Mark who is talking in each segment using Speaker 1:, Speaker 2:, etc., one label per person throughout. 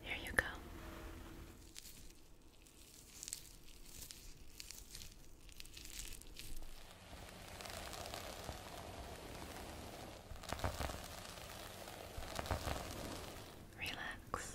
Speaker 1: Here you go. Relax.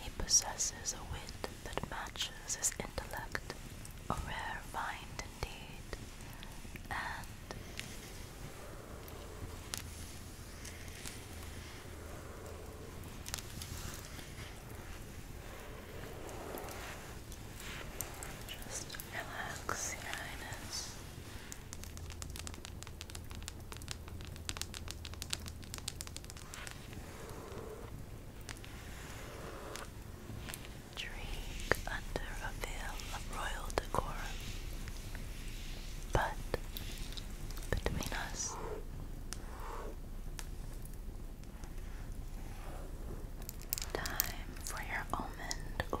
Speaker 1: He possesses a wit that matches his intellect, a rare find indeed, and just relax your highness. Drink under a veil of royal decorum, but between us, Time for your almond oil.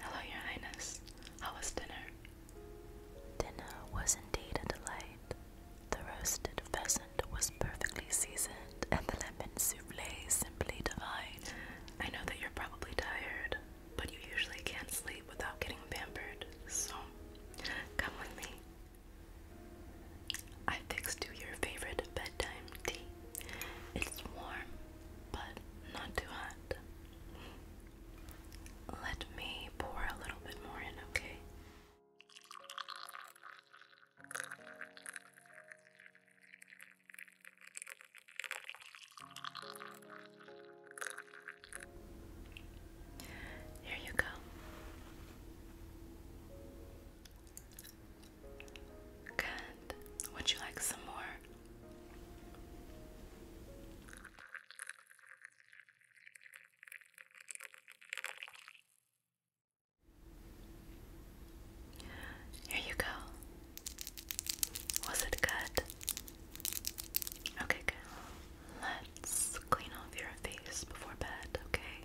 Speaker 1: Hello, Your Highness. How was dinner? Dinner was indeed a delight. The roasted pheasant was perfectly seasoned, and the lemon souffle simply divine. I know that you're probably tired, but you usually can't sleep without getting pampered, so come with me. I fixed you your favorite bedtime tea. It's warm, but not too hot. Let me pour a little bit more in, okay? Here you go. Good. Would you like some more? Here you go. Was it good? Okay, good. Let's clean off your face before bed, okay?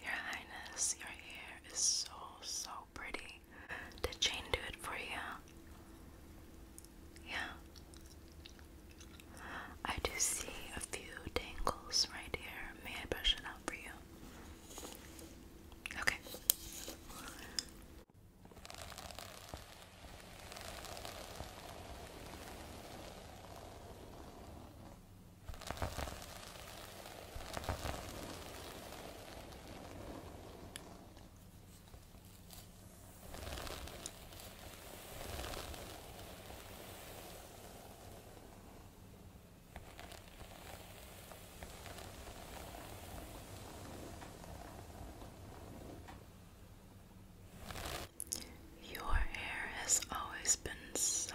Speaker 1: Your Highness, your hair is so, so pretty. Did Jane do it for you? Yeah. I do see a few tangles right here. May I brush it out for you? Okay. Your hair has always been so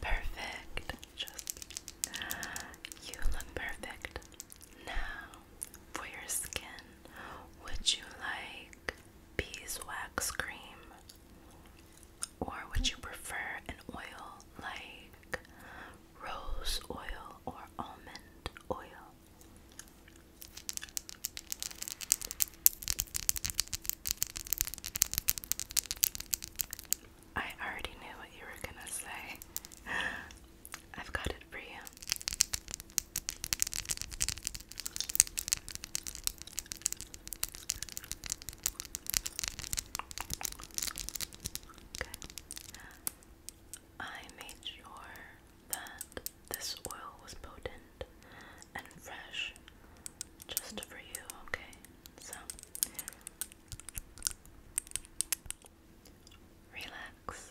Speaker 1: Perfect. Just you look perfect. Now, for your skin, would you like beeswax cream? Or would you prefer an oil like rose oil or almond oil? I already knew what you were gonna say. I've got it for you. Good. I made sure that this oil was potent and fresh just for you, okay? So relax.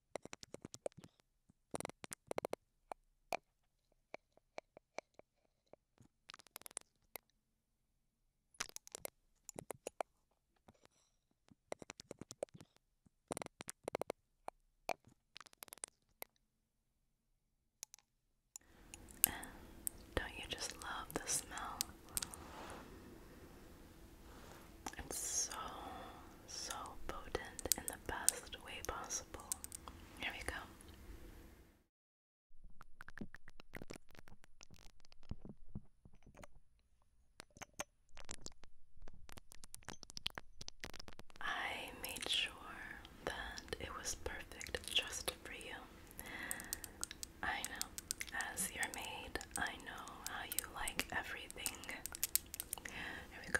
Speaker 1: And don't you just love the smell? It's so so potent in the best way possible. Here we go. I made sure that it was perfect just for you. I know, as your maid, I know how you like everything. Here we go.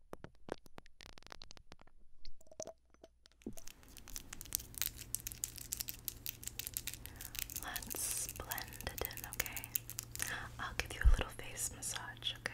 Speaker 1: Let's blend it in, okay? I'll give you a little face massage, okay?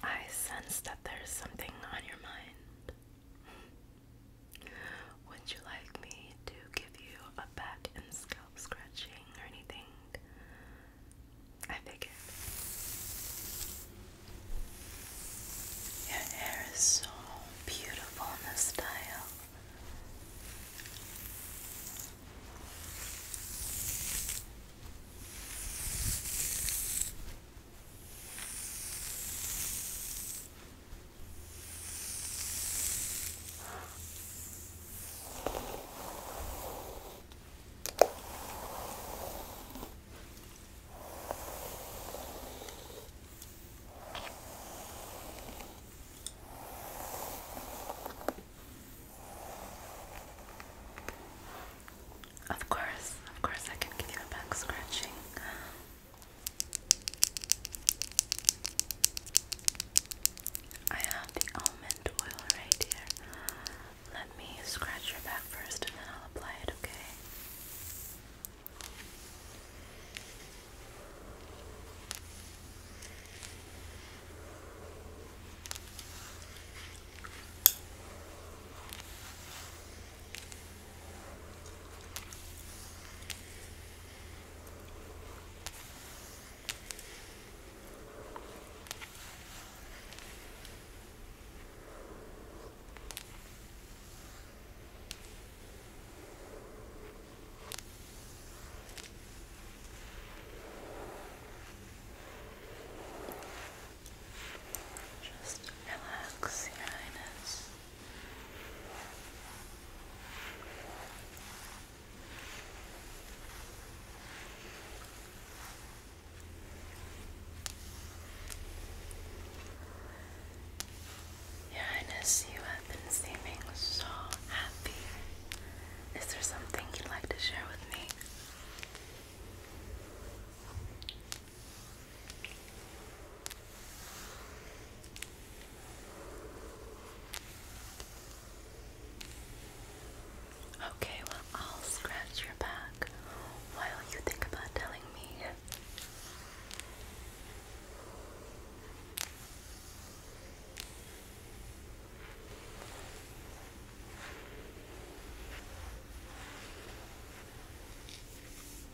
Speaker 1: I sense that there's something on your mind. Would you like me to give you a back and scalp scratching or anything? I figured. Your hair is so beautiful in this style. Of course, of course, I can give you a back scratching. I have the almond oil right here. Let me scratch your back first and then I'll apply it, okay? Okay. Just relax your eyes. Your Highness, you have been seeming so happy. Is there something you'd like to share with me? Okay, well, I'll scratch your back while you think about telling me.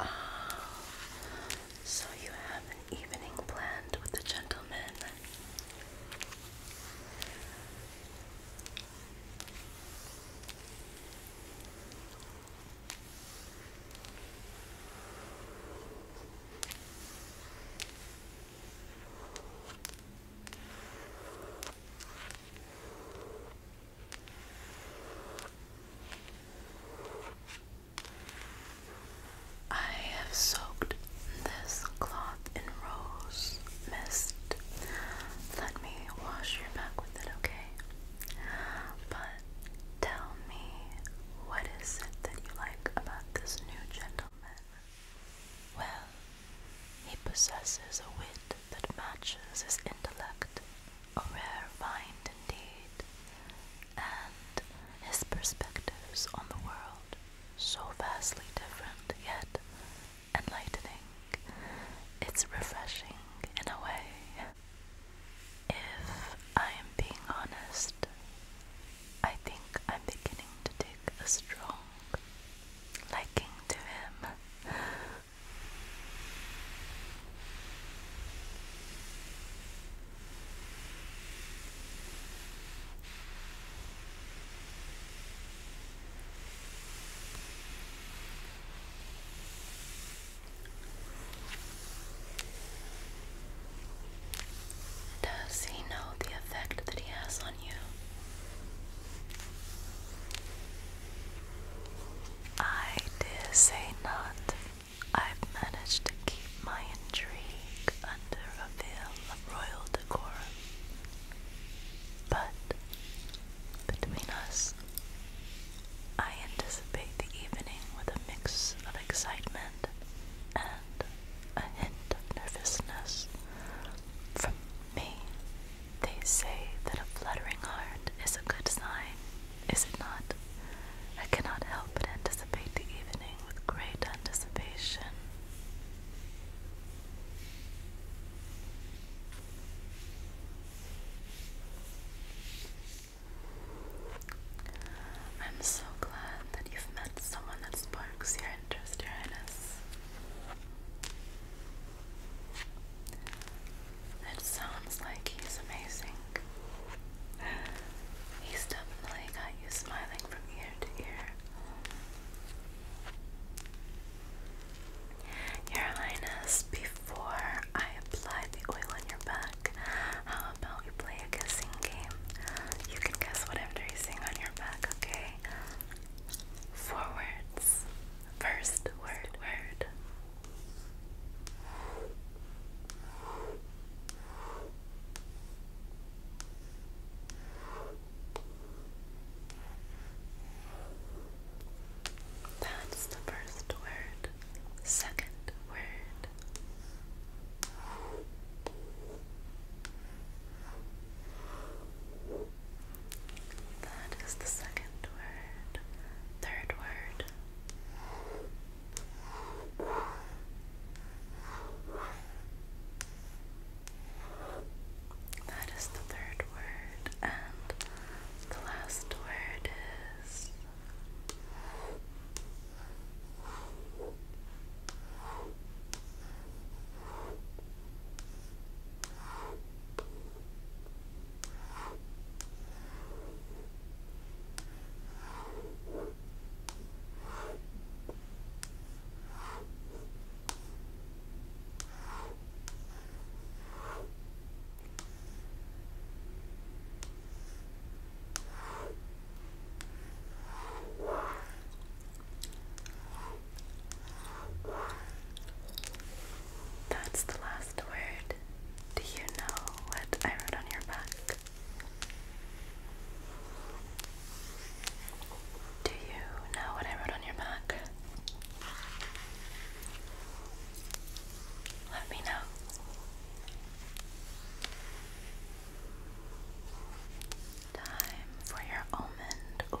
Speaker 1: Oh, so you have an evening planned with the gentleman. I have soaked this cloth in rose mist. Let me wash your back with it, okay? But tell me, what is it that you like about this new gentleman? Well, he possesses a wit that matches his intellect a rare find indeed, and his perspectives on the world so vastly different yet enlightening. It's refreshing in a way. If I am being honest, I think I'm beginning to take a strong liking to him. Does he know the effect that he has on you? I dare say not. I've managed to keep my intrigue under a veil of royal decorum. But, between us, I anticipate the evening with a mix of excitement and a hint of nervousness. From me, they say that a fluttering heart is a good sign is it not? I cannot help but anticipate the evening with great anticipation. I'm so glad that you've met someone that sparks your interest, Your Highness. It sounds like he's amazing. He's definitely got you smiling from ear to ear. Your Highness, before I apply the oil on your back, how about we play a guessing game? You can guess what I'm tracing on your back, okay? Four words. First word, that's the first word. Second word. That is the second word. Third word. That is the third word, and the last word is that's the last word. Do you know what I wrote on your back? Do you know what I wrote on your back? Let me know. Time for your almond oil.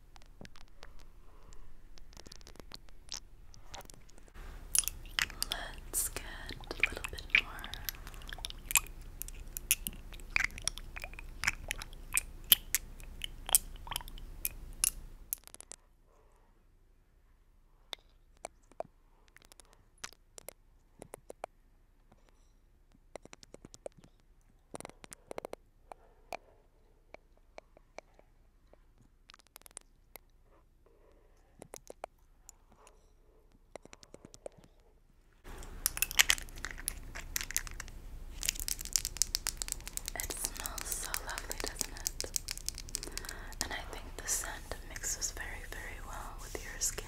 Speaker 1: Let's get a little bit more. It smells so lovely, doesn't it? And I think the scent mixes very, very well with your skin.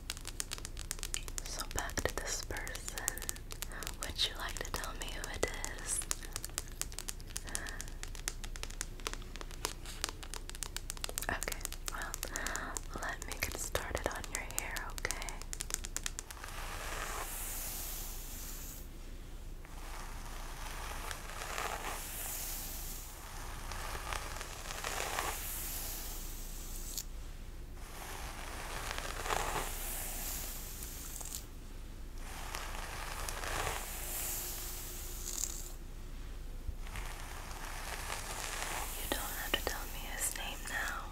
Speaker 1: So back to this person. Would you like to tell me who it is? Okay, well, let me get started on your hair, okay? You don't have to tell me his name now.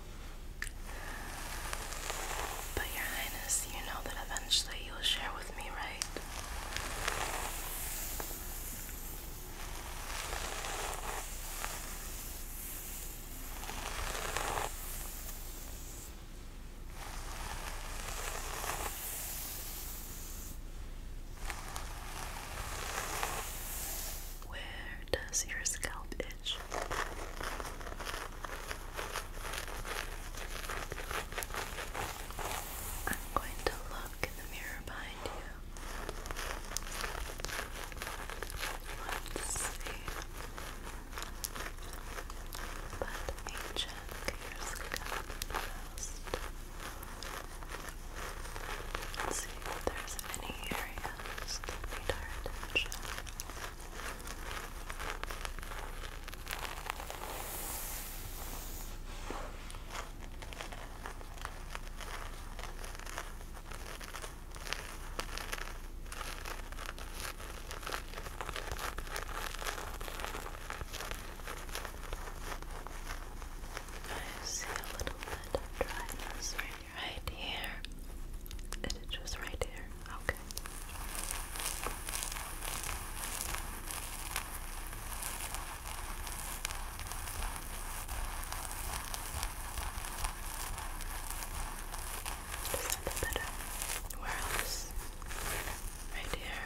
Speaker 1: But, Your Highness, you know that eventually you'll share with me, right? Where does your scalp itch? I'm going to look in the mirror behind you. Let's see. But ancient years ago, past. see if there's any areas that need our attention. Okay. I see a little bit of dryness right, right here. It is just right here. Okay. Just a little bit where else? Right here.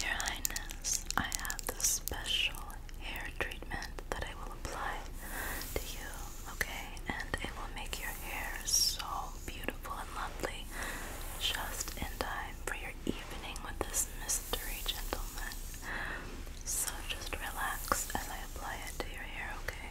Speaker 1: Your Highness, I have this special hair treatment that I will apply to you, okay? And it will make your hair so beautiful and lovely just in time for your evening with this mystery gentleman. So just relax as I apply it to your hair, okay?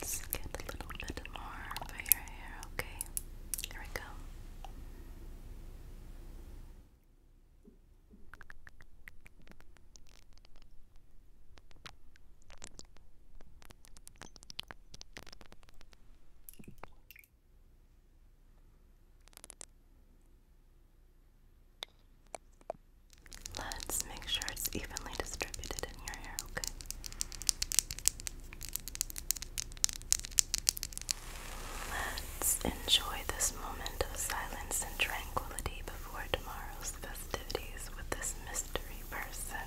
Speaker 1: Let's get a little bit more over your hair, okay? There we go. Let's make sure it's evenly distributed in your hair, okay? Let's enjoy this moment of silence and tranquility before tomorrow's festivities with this mystery person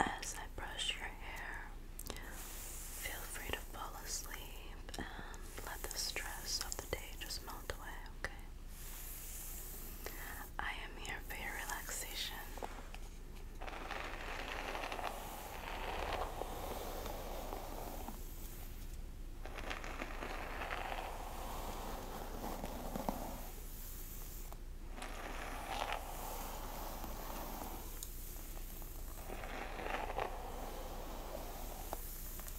Speaker 1: As I brush your hair, feel free to fall asleep and let the stress of the day just melt away, okay? I am here for your relaxation.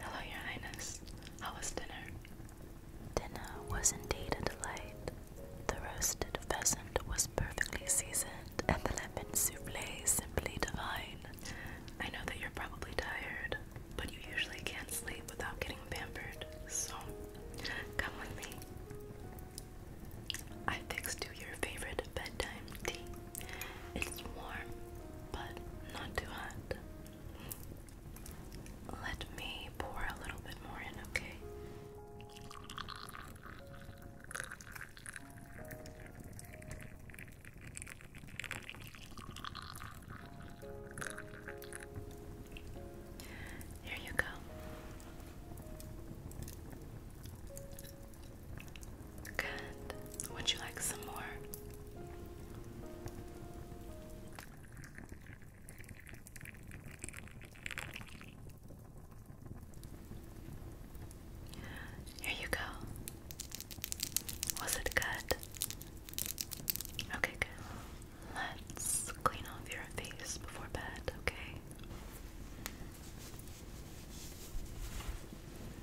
Speaker 1: Hello, Your Highness. How was dinner? Dinner was indeed a delight. The roasted pheasant was perfectly seasoned, and the lemon souffle simply divine. I know that you're probably tired, but you usually can't sleep without getting pampered, so come with me. I fixed you your favorite bedtime tea. It's warm, but not too hot. Let me pour a little bit more in, okay? Here you go. Good. Would you like some more? Here you go. Was it good? Okay, good. Let's clean off your face before bed, okay?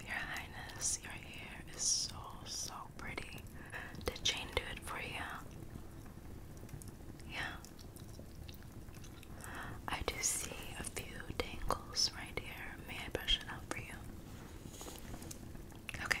Speaker 1: Your Highness, your hair is so, so pretty. Did Jane do it for you? Yeah. I do see a few tangles right here. May I brush it out for you? Okay.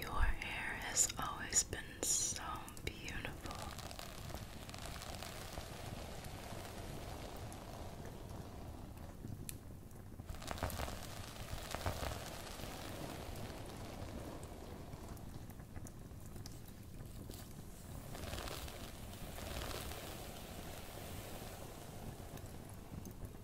Speaker 1: Your hair has always been so beautiful.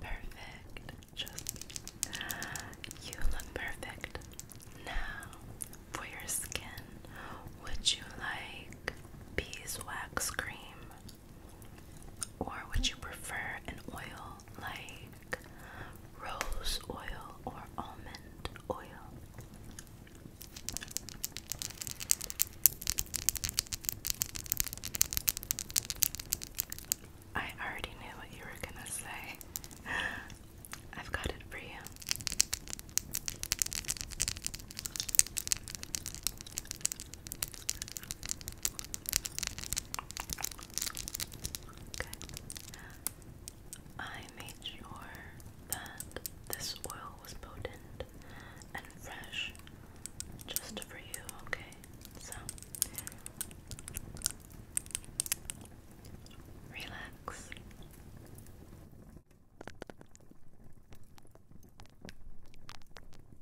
Speaker 1: Perfect. Just you look perfect. Now, for your skin, would you like beeswax cream or would you prefer an oil like rose oil or almond oil? I already knew what you were gonna say. I've got it for you. I made sure that this oil was potent and fresh just for you, okay? So, relax.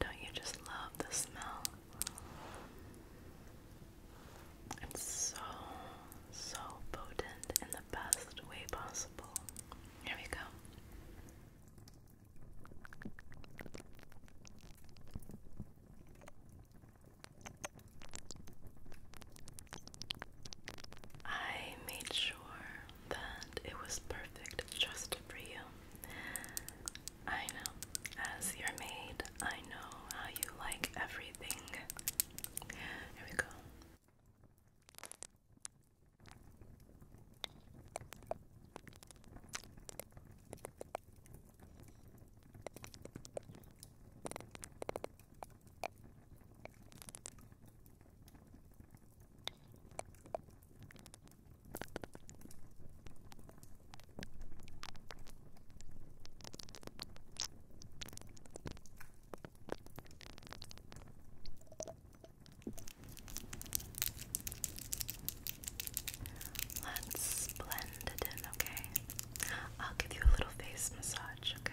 Speaker 1: don't you just love the smell? It's so, so potent in the best way possible. Here we go. I made sure that it was perfect just for you. I know. As your maid, I know how you like everything. Here we go. Let's blend it in, okay? I'll give you a little face massage, okay?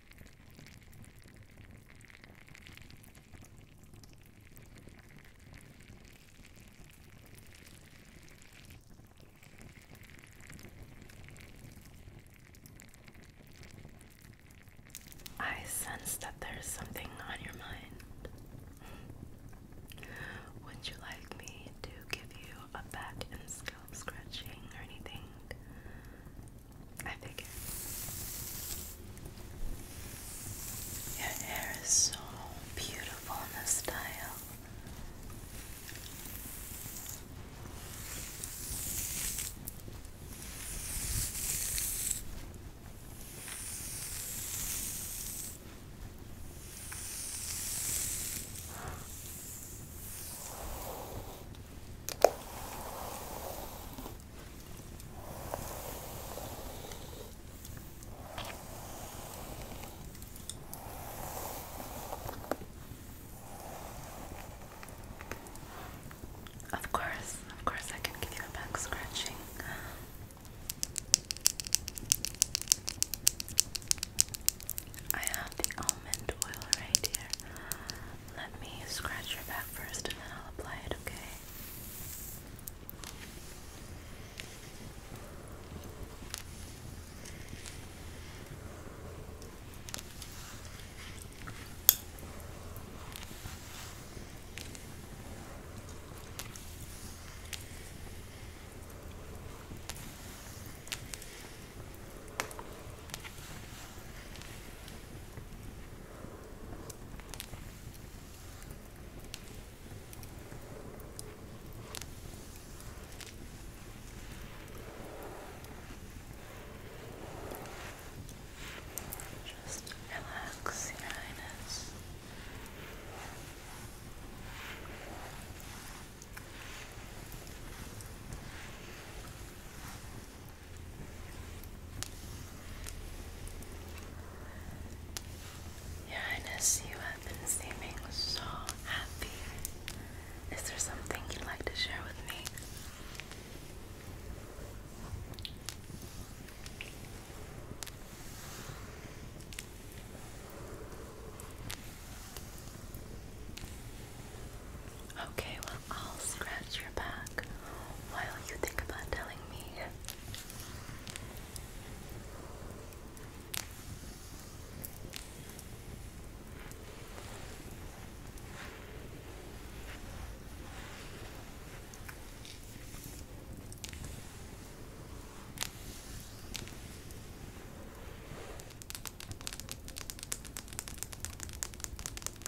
Speaker 1: I sense that there's something on your mind. Would you like me to give you a back and scalp scratching or anything I figure. Your hair is so beautiful in this style. Of course, of course, I can give you a back scratching. I have the almond oil right here. Let me scratch your back first and then I'll apply it, okay? Just relax, Your Highness. Your Highness, you have been seeming so happy. Is there something you'd like to share with me? Okay, well, I'll scratch your back while you think about telling me.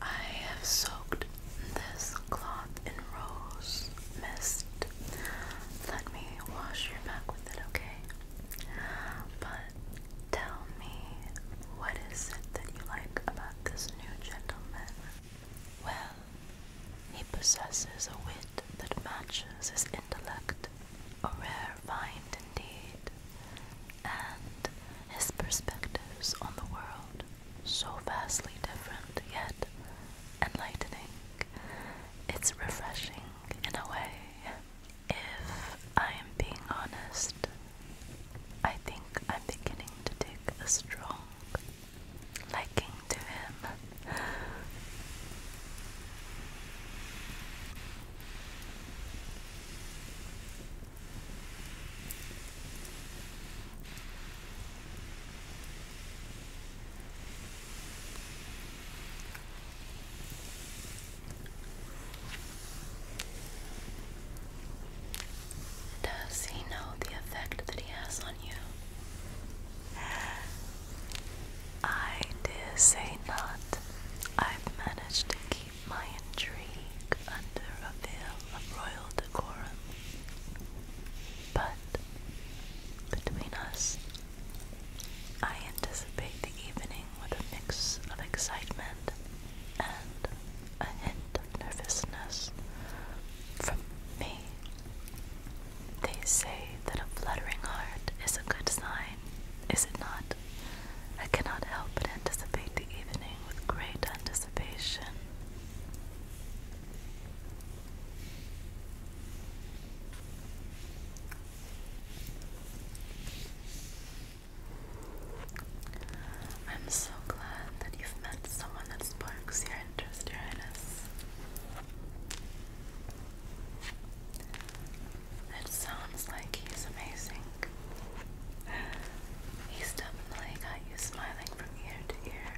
Speaker 1: I have soaked this cloth in rose mist. Let me wash your back with it, okay? But tell me, what is it that you like about this new gentleman? Well, he possesses a wit that matches his intellect, a rare find indeed, and his perspectives on the world so vastly different yet enlightening it's refreshing in a way. If I am being honest, I think I'm beginning to take a strong liking to him. Does he know the effect that he has on you? I dare say not. I've managed to keep my intrigue under a veil of royal decorum. But between us, I anticipate the evening with a mix of excitement and a hint of nervousness from me. They say that a fluttering heart is a good sign, is it not? I cannot help but anticipate the evening with great anticipation. I'm so glad that you've met someone that sparks your interest, Your Highness. It sounds like he's amazing. He's definitely got you smiling from ear to ear.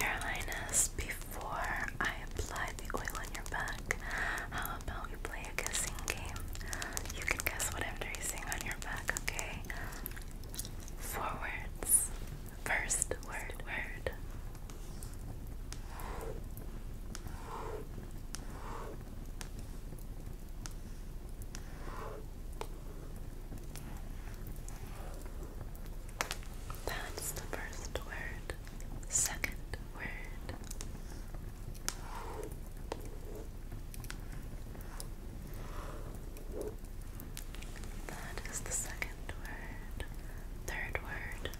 Speaker 1: Your Highness, before I apply the oil on your back, how about we play a guessing game? You can guess what I'm tracing on your back, okay? Four words. First word, word. That's the first word. Second word. That is the second word. Third word.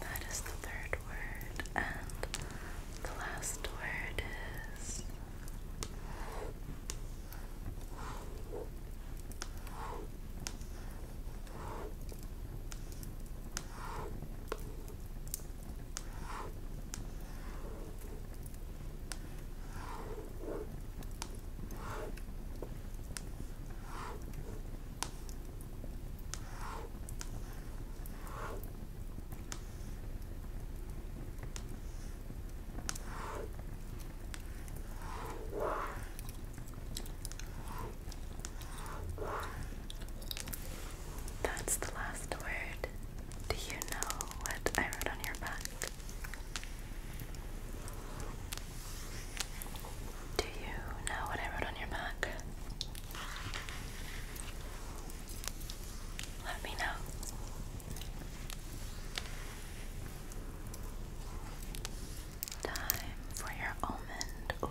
Speaker 1: That is the third word, and the last word is that's the last word. Do you know what I wrote on your back? Do you know what I wrote on your back? Let me know. Time for your almond oil.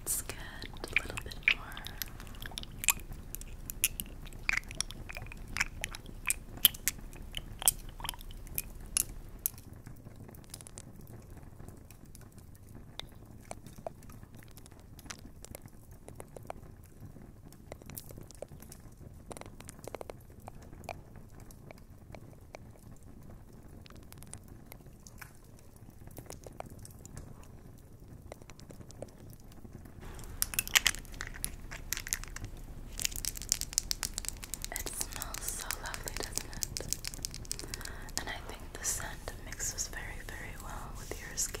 Speaker 1: Let's get a little bit more. It smells so lovely, doesn't it? And I think the scent mixes very, very well with your skin.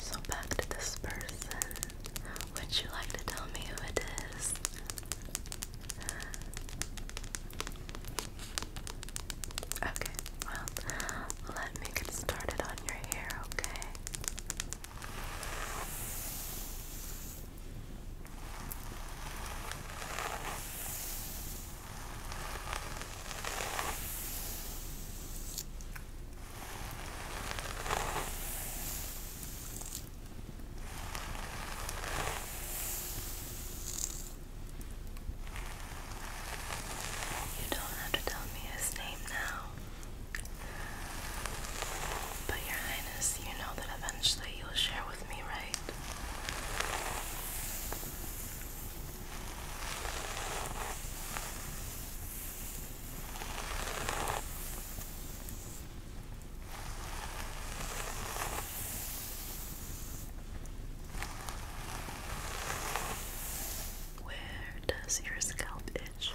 Speaker 1: So back to this person. Would you like to tell me who it is? Okay, well, let me get started on your hair, okay? You don't have to tell me his name now. But, Your Highness, you know that eventually you'll share with me, right? Where does your scalp itch?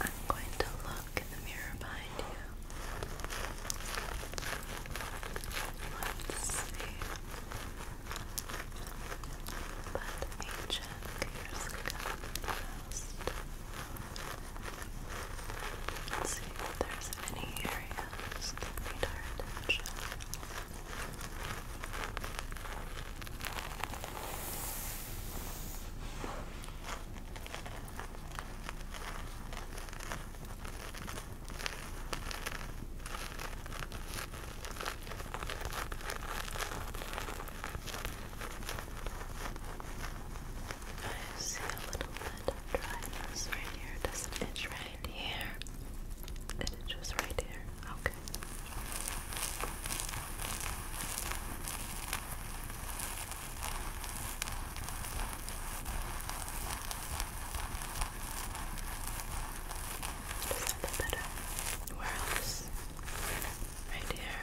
Speaker 1: I'm going to look in the mirror behind you. Let's see. Let me fingers come first. Let's see if there's any areas that need attention. I see a little bit of dryness right here. Does it itch right here? It itches right here. Okay. Does that look better? Where else? Right here. There.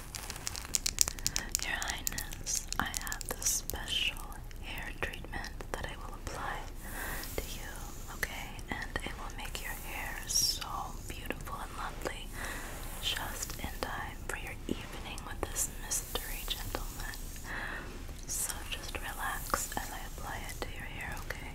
Speaker 1: Your Highness, I have this special hair treatment that I will apply to you, okay? And it will make your hair so beautiful and lovely just in time for your evening with this mystery gentleman. So just relax as I apply it to your hair, Okay.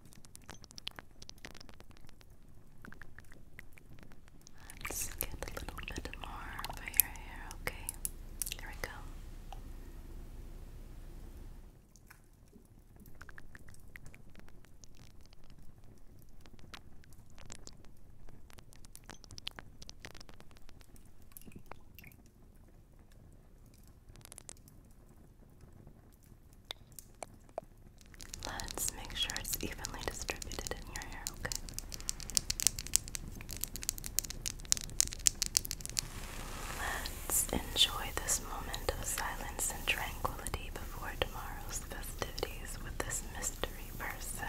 Speaker 1: Let's get a little bit more for your hair, okay? There we go. Let's make sure it's evenly distributed in your hair, okay? Let's enjoy this moment of silence and tranquility before tomorrow's festivities with this mystery person.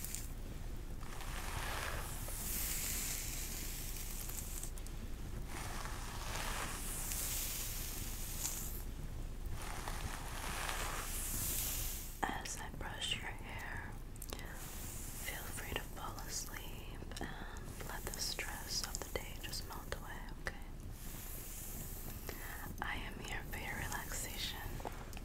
Speaker 1: As I brush your hair, feel free to fall asleep and let the stress of the day just melt away, okay? I am here for your relaxation